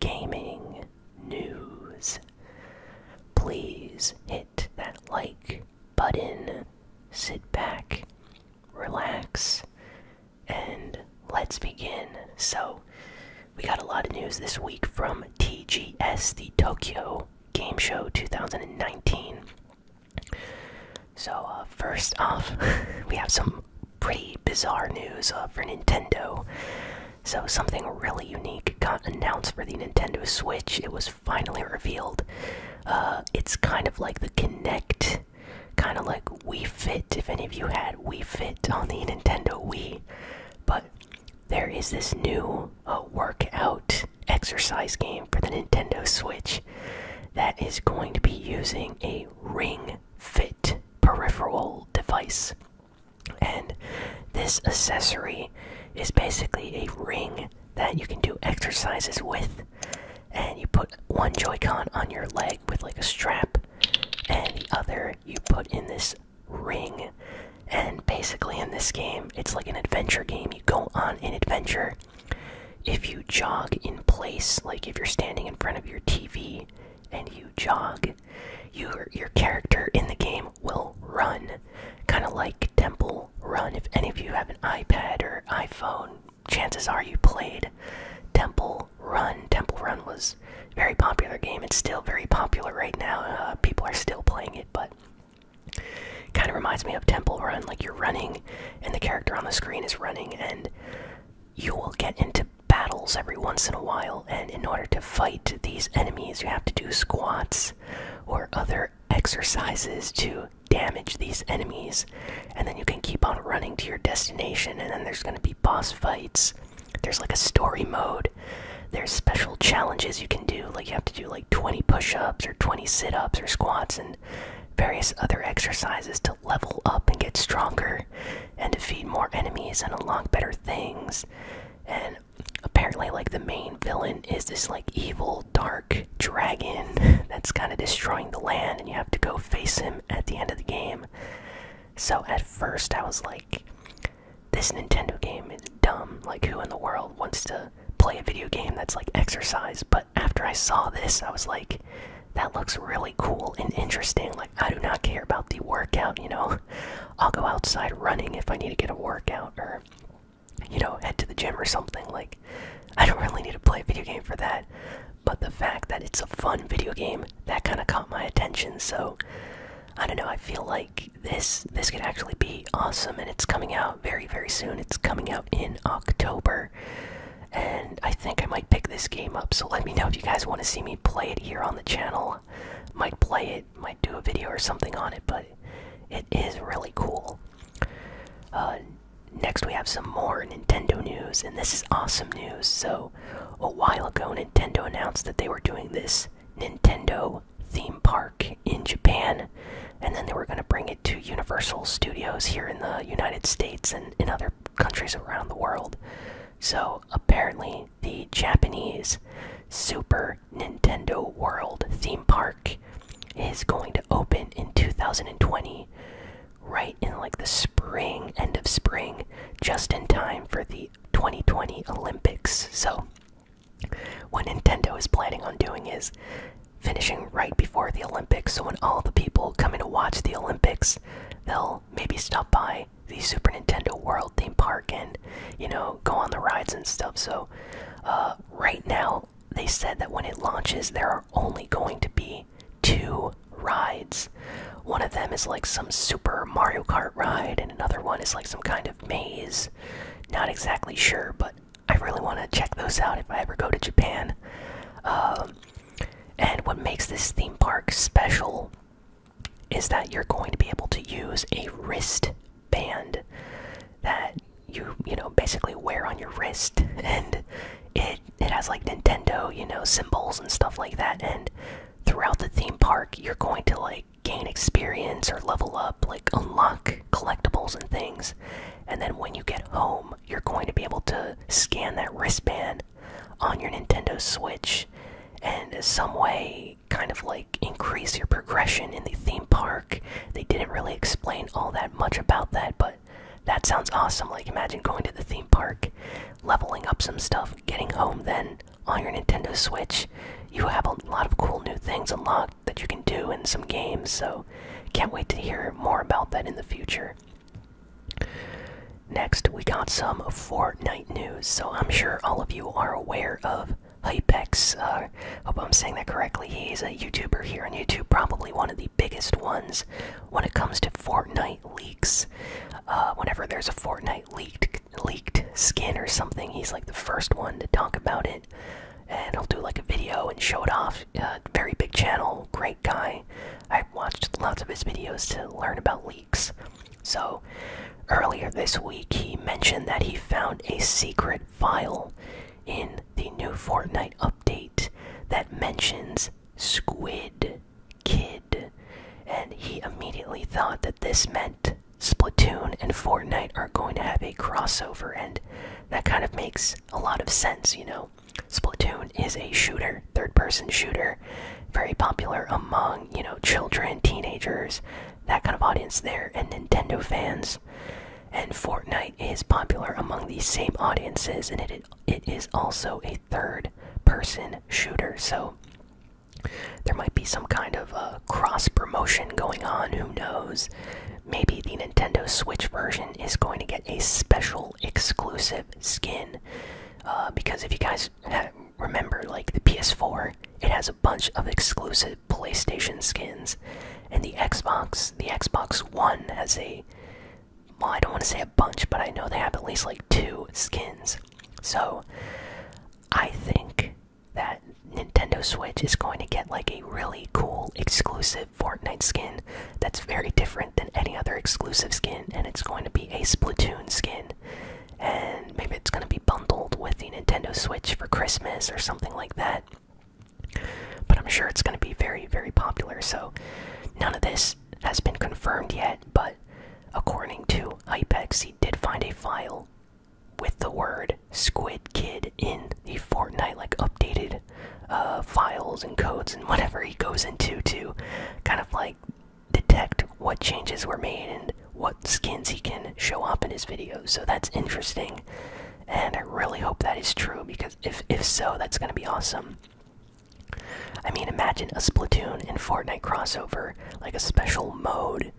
gaming news. Please hit that like button, sit back, relax, and let's begin. So, we got a lot of news this week from TGS, the Tokyo Game Show 2019. So, uh, first off, we have some pretty bizarre news uh, for Nintendo. So, something really unique got announced for the Nintendo Switch. It was finally revealed. Uh, it's kind of like the Kinect, kind of like Wii Fit, if any of you had Wii Fit on the Nintendo Wii. But there is this new uh, workout exercise game for the Nintendo Switch that is going to be using a Ring Fit peripheral device. And this accessory is basically a ring that you can do exercises with. And you put one Joy-Con on your leg with like a strap, and the other you put in this ring. And basically, in this game, it's like an adventure game. You go on an adventure. If you jog in place, like if you're standing in front of your TV and you jog, your your character in the game will run, kind of like Temple Run. If any of you have an iPad or iPhone, chances are you played Temple Run. Temple Run was a very popular game. It's still very popular right now. Uh, people are still playing it, but kind of reminds me of Temple Run. Like you're running, and the character on the screen is running, and you will get into battles every once in a while, and in order to fight these enemies, you have to do squats or other exercises to damage these enemies, and then you can keep on running to your destination, and then there's going to be boss fights. There's like a story mode. There's special challenges you can do, like you have to do like 20 push ups or 20 sit ups or squats and various other exercises to level up and get stronger and to defeat more enemies and unlock better things. And apparently, like the main villain is this like evil dark dragon that's kind of destroying the land, and you have to go face him at the end of the game. So at first, I was like, this Nintendo game is dumb. Like, who in the world wants to play a video game that's like exercise? But after I saw this, I was like, that looks really cool and interesting. Like, I do not care about the workout, you know. I'll go outside running if I need to get a workout or you know, head to the gym or something. Like I don't really need to play a video game for that. But the fact that it's a fun video game, that kinda caught my attention, so I don't know, I feel like this this could actually be awesome and it's coming out very, very soon. It's coming out in October. And I think I might pick this game up. So let me know if you guys want to see me play it here on the channel. Might play it, might do a video or something on it, but it is really cool. Uh, next, we have some more Nintendo news, and this is awesome news. So, a while ago, Nintendo announced that they were doing this Nintendo theme park in Japan, and then they were going to bring it to Universal Studios here in the United States and in other countries around the world. So, apparently, the Japanese Super Nintendo World theme park is going to open in 2020, right in like the spring, end of spring, just in time for the 2020 Olympics. So, what Nintendo is planning on doing is finishing right before the Olympics. So, when all the people coming to watch the Olympics, they'll maybe stop by the Super Nintendo World theme park and you know go on the rides and stuff. So uh, right now they said that when it launches, there are only going to be two rides. One of them is like some Super Mario Kart ride, and another one is like some kind of maze. Not exactly sure, but I really want to check those out if I ever go to Japan. Um, and what makes this theme park special is that you're going to be able to use a wristband that you you know basically wear on your wrist and it it has like Nintendo you know symbols and stuff like that and throughout the theme park you're going to like gain experience or level up like unlock collectibles and things and then when you get home you're going to be able to scan that wristband on your Nintendo Switch and some way kind of like increase your progression in the theme park. They didn't really explain all that much about that, but that sounds awesome. Like, imagine going to the theme park, leveling up some stuff, getting home, then on your Nintendo Switch, you have a lot of cool new things unlocked that you can do in some games. So, can't wait to hear more about that in the future. Next, we got some Fortnite news. So I'm sure all of you are aware of Hypex. I uh, hope I'm saying that correctly. He's a YouTuber here on YouTube, probably one of the biggest ones when it comes to Fortnite leaks. Uh, whenever there's a Fortnite leaked leaked skin or something, he's like the first one to talk about it, and he'll do like a video and show it off. Uh, very big channel, great guy. i watched lots of his videos to learn about leaks. So, earlier this week, he mentioned that he found a secret file in the new Fortnite update that mentions Squid Kid, and he immediately thought that this meant Splatoon and Fortnite are going to have a crossover, and that kind of makes a lot of sense, you know. Splatoon is a shooter, third person shooter, very popular among, you know, children, teenagers, that kind of audience there, and Nintendo fans. And Fortnite is popular among these same audiences, and it it is also a third-person shooter. So there might be some kind of uh, cross promotion going on. Who knows? Maybe the Nintendo Switch version is going to get a special exclusive skin. Uh, because if you guys remember like the PS4, it has a bunch of exclusive PlayStation skins, and the Xbox, the Xbox One has a well, I don't want to say a bunch, but I know they have at least like two skins. So I think that Nintendo Switch is going to get like a really cool exclusive Fortnite skin that's very different than any other exclusive skin, and it's going to be a Splatoon skin and maybe it's going to be bundled with the Nintendo Switch for Christmas or something like that. But I'm sure it's going to be very, very popular. So none of this has been confirmed yet, but according to Hypex, he did find a file with the word Squid Kid in the Fortnite, like updated uh, files and codes and whatever he goes into to kind of like detect what changes were made and what skins he can show up in his videos. So that's interesting. And I really hope that is true because if if so, that's going to be awesome. I mean, imagine a Splatoon and Fortnite crossover, like a special mode.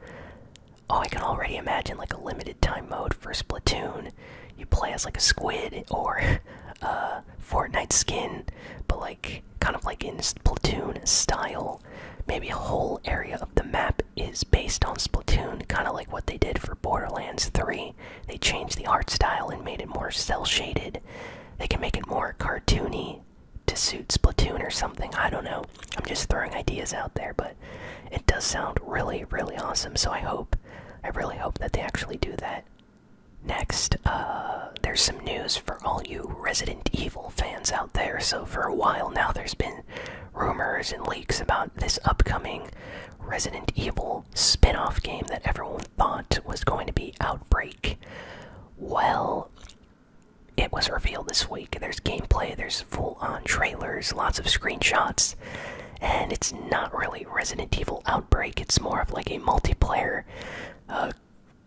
Oh, I can already imagine like a limited time mode for Splatoon. You play as like a squid or a Fortnite skin, but like kind of like in Splatoon style. Maybe a whole area of the map is based on Splatoon, kind of like what they did for Borderlands 3. They changed the art style and made it more cell shaded. They can make it more cartoony to suit Splatoon or something. I don't know. I'm just throwing ideas out there, but it does sound really, really awesome. So I hope, I really hope that they actually do that. Next, uh, there's some news for all you Resident Evil fans out there. So, for a while now, there's been rumors and leaks about this upcoming Resident Evil spin off game that everyone thought was going to be Outbreak. Well, it was revealed this week. There's gameplay, there's full on trailers, lots of screenshots, and it's not really Resident Evil Outbreak, it's more of like a multiplayer uh,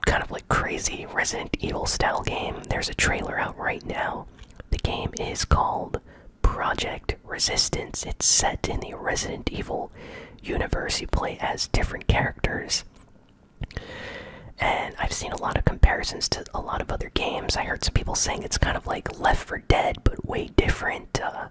kind of like crazy Resident Evil style game. There's a trailer out right now. The game is called Project Resistance. It's set in the Resident Evil universe. You play as different characters. And I've seen a lot of comparisons to a lot of other games. I heard some people saying it's kind of like Left for Dead, but way different. Uh,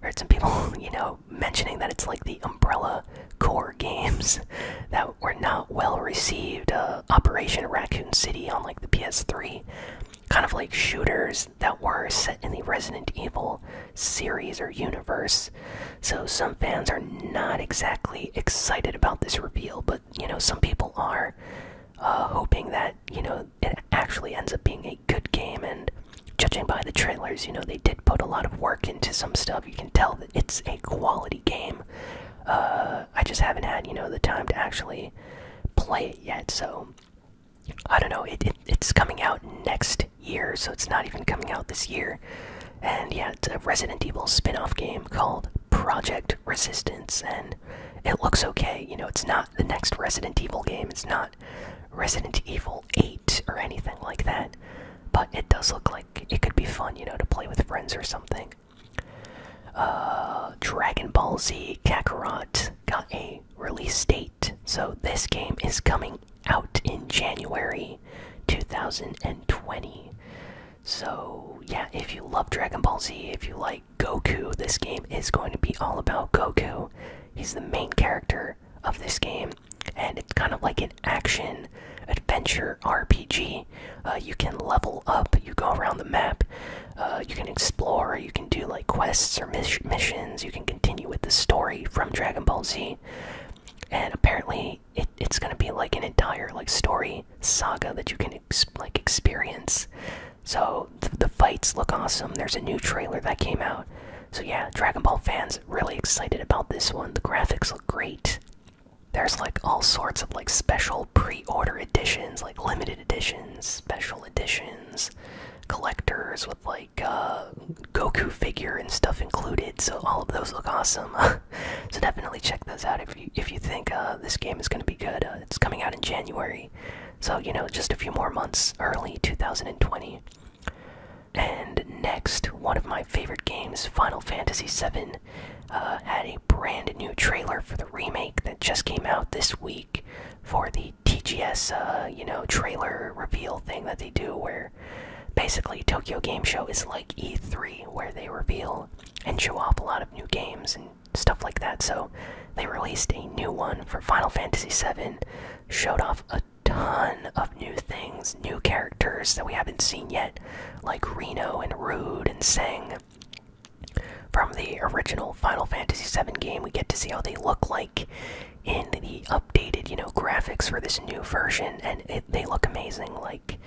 heard some people, you know, mentioning that it's like the Umbrella Core games that were not well received. Uh, Operation Raccoon City on like the PS3, kind of like shooters that were set in the Resident Evil series or universe. So some fans are not exactly excited about this reveal, but you know some people are uh, hoping that you know it actually ends up being a good game. And judging by the trailers, you know they did put a lot of work into some stuff. You can tell it's a quality game. Uh, I just haven't had you know the time to actually play it yet. So I don't know. it's coming out next year, so it's not even coming out this year. And yet, a Resident Evil spin-off game called Project Resistance, and it looks okay. You know, it's not the next Resident Evil game. It's not Resident Evil 8 or anything like that, but it does look like it could be fun, you know, to play with friends or something. Uh, Dragon Ball Z Kakarot got a release date, so this game is coming out in January 2020. So, yeah, if you love Dragon Ball Z, if you like Goku, this game is going to be all about Goku. He's the main character of this game and it's kind of like an action adventure RPG. Uh, you can level up, you go around the map, uh, you can explore, you can do like quests or missions, you can continue with the story from Dragon Ball Z. And apparently, it's going to be like an entire like story saga that you can like experience. So the fights look awesome. There's a new trailer that came out. So yeah, Dragon Ball fans really excited about this one. The graphics look great there's like all sorts of like special pre-order editions like limited editions special editions collectors with like uh goku figure and stuff included so all of those look awesome so definitely check those out if you if you think uh, this game is going to be good uh, it's coming out in january so you know just a few more months early 2020 and next one of my favorite games, Final Fantasy VII, uh, had a brand new trailer for the remake that just came out this week for the TGS, uh, you know, trailer reveal thing that they do where basically Tokyo Game Show is like E3 where they reveal and show off a lot of new games and stuff like that. So they released a new one for Final Fantasy VII, showed off a ton of new things new characters that we haven't seen yet, like Reno and Rude and Sang. From the original Final Fantasy VII game, we get to see how they look like in the updated, you know, graphics for this new version, and they look amazing. Like,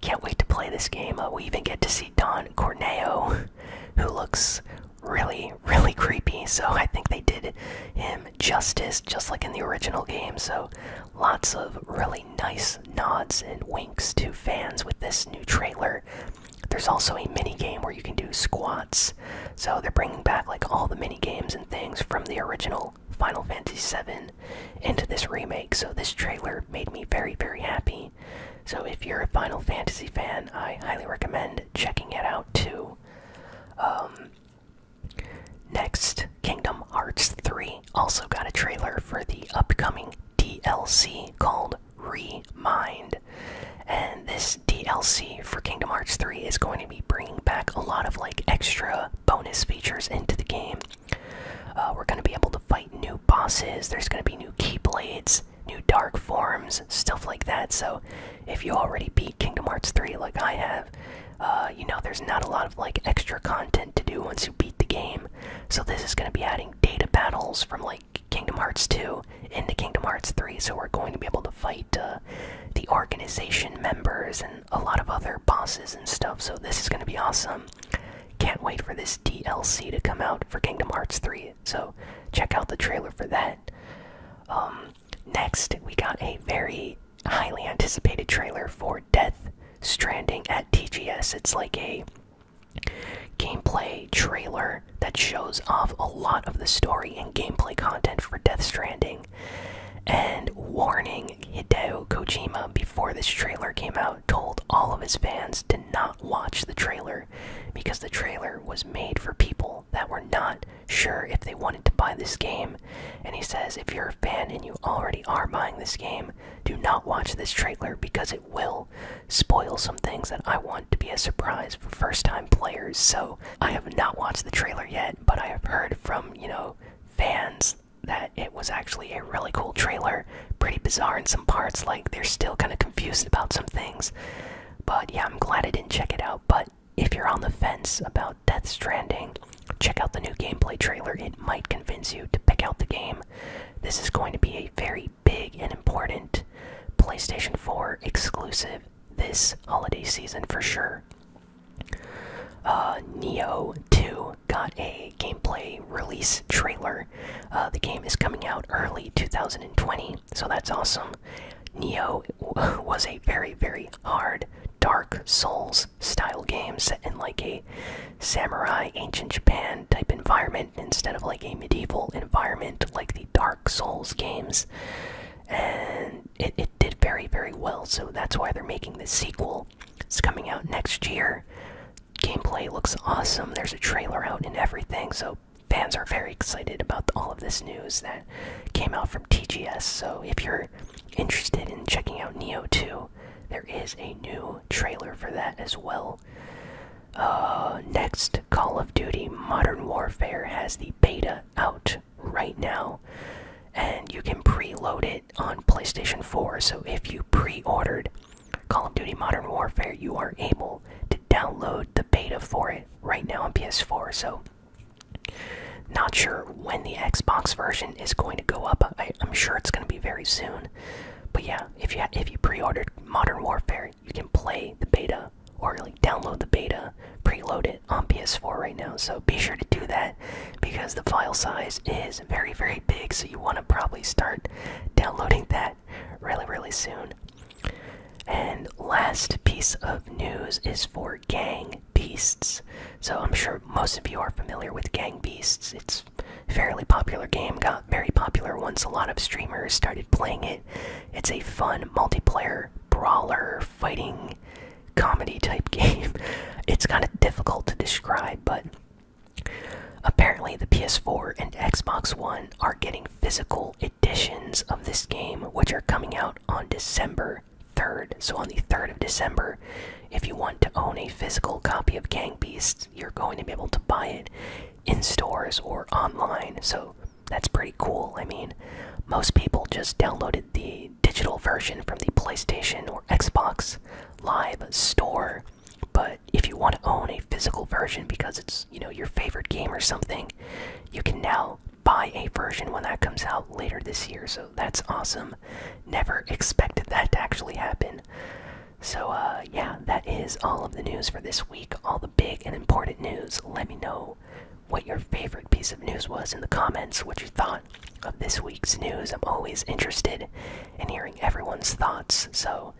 can't wait to play this game. Uh, we even get to see Don Corneo, who looks really, really creepy. So I think they did him justice, just like in the original game. So Lots of really nice nods and winks to fans with this new trailer. There's also a mini game where you can do squats. So they're bringing back like all the mini games and things from the original Final Fantasy VII into this remake. So this trailer made me very very happy. So if you're a Final Fantasy fan, I highly recommend checking it out too. Um, Next, Kingdom Hearts 3 also got a trailer for the upcoming DLC called Remind. And this DLC for Kingdom Hearts 3 is going to be bringing back a lot of like extra bonus features into the game. Uh, we're going to be able to fight new bosses, there's going to be new Keyblades, new Dark Forms, stuff like that. So if you already beat Kingdom Hearts 3 like I have, uh, you know, there's not a lot of like extra content to do once you beat the game, so this is going to be adding data battles from like Kingdom Hearts 2 into Kingdom Hearts 3. So we're going to be able to fight uh, the organization members and a lot of other bosses and stuff. So this is going to be awesome. Can't wait for this DLC to come out for Kingdom Hearts 3. So check out the trailer for that. Um, next, we got a very highly anticipated trailer for Death Stranding at TGS. It's like a gameplay trailer that shows off a lot of the story and gameplay content for Death Stranding. And warning Hideo Kojima before this trailer came out told all of his fans to not watch the trailer because the trailer was made for people that were not sure if they wanted to buy this game. And he says, if you're a fan and you already are buying this game, do not watch this trailer because it will spoil some things that I want to be a surprise for first time players. So I have not watched the trailer yet, but I have heard from, you know, fans that it was actually a really cool trailer. Pretty bizarre in some parts, like they're still kind of confused about some things. But yeah, I'm glad I didn't check it out. But if you're on the fence about Death Stranding, Check out the new gameplay trailer, it might convince you to pick out the game. This is going to be a very big and important PlayStation 4 exclusive this holiday season for sure. Uh, Neo 2 got a gameplay release trailer. Uh, the game is coming out early 2020, so that's awesome. Neo was a very, very hard Dark Souls style games set in like a samurai ancient Japan type environment instead of like a medieval environment like the Dark Souls games. And it, it did very, very well, so that's why they're making this sequel. It's coming out next year. Gameplay looks awesome. There's a trailer out and everything, so fans are very excited about all of this news that came out from TGS. So if you're interested in checking out Neo 2, there is a new trailer for that as well. Uh, next, Call of Duty Modern Warfare has the beta out right now, and you can preload it on PlayStation 4. So if you pre ordered Call of Duty Modern Warfare, you are able to download the beta for it right now on PS4. So, not sure when the Xbox version is going to go up. I, am sure it's going to be very soon. But yeah, if you if you pre-ordered Modern Warfare, you can play the beta or like download the beta, preload it on PS4 right now. So be sure to do that because the file size is very very big. So you want to probably start downloading that really really soon. And last piece of news is for Gang Beasts. So I'm sure most of you are familiar with Gang Beasts. It's a fairly popular game, got very popular once a lot of streamers started playing it. It's a fun multiplayer brawler fighting comedy type game. It's kind of difficult to describe, but apparently the PS4 and Xbox One are getting physical editions of this game, which are coming out on December 3rd. So on the 3rd of December, if you want to own a physical copy of Gang Beasts, you're going to be able to buy it in stores or online, so that's pretty cool. I mean, most people just downloaded the digital version from the PlayStation or Xbox Live store, but if you want to own a physical version because it's, you know, your favorite game or something, you can now buy a version when that comes out later this year, so that's awesome. Never expected that to actually happen. So, uh, yeah, that is all of the news for this week. All the big and important news. Let me know what your favorite piece of news was in the comments, what you thought of this week's news. I'm always interested in hearing everyone's thoughts. So,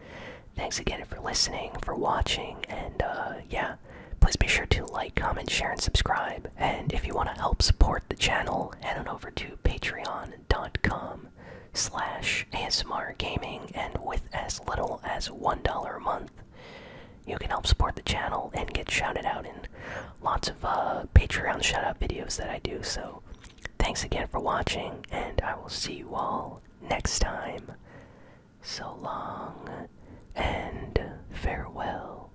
thanks again for listening, for watching, and uh, yeah, please be sure to like, comment, share, and subscribe. And if you want to help support the channel, head on over to Patreon dot com slash ASMR Gaming and with as little as $1 a month. You can help support the channel and get shouted out in lots of uh, Patreon shout-out videos that I do. So, thanks again for watching, and I will see you all next time. So long and farewell.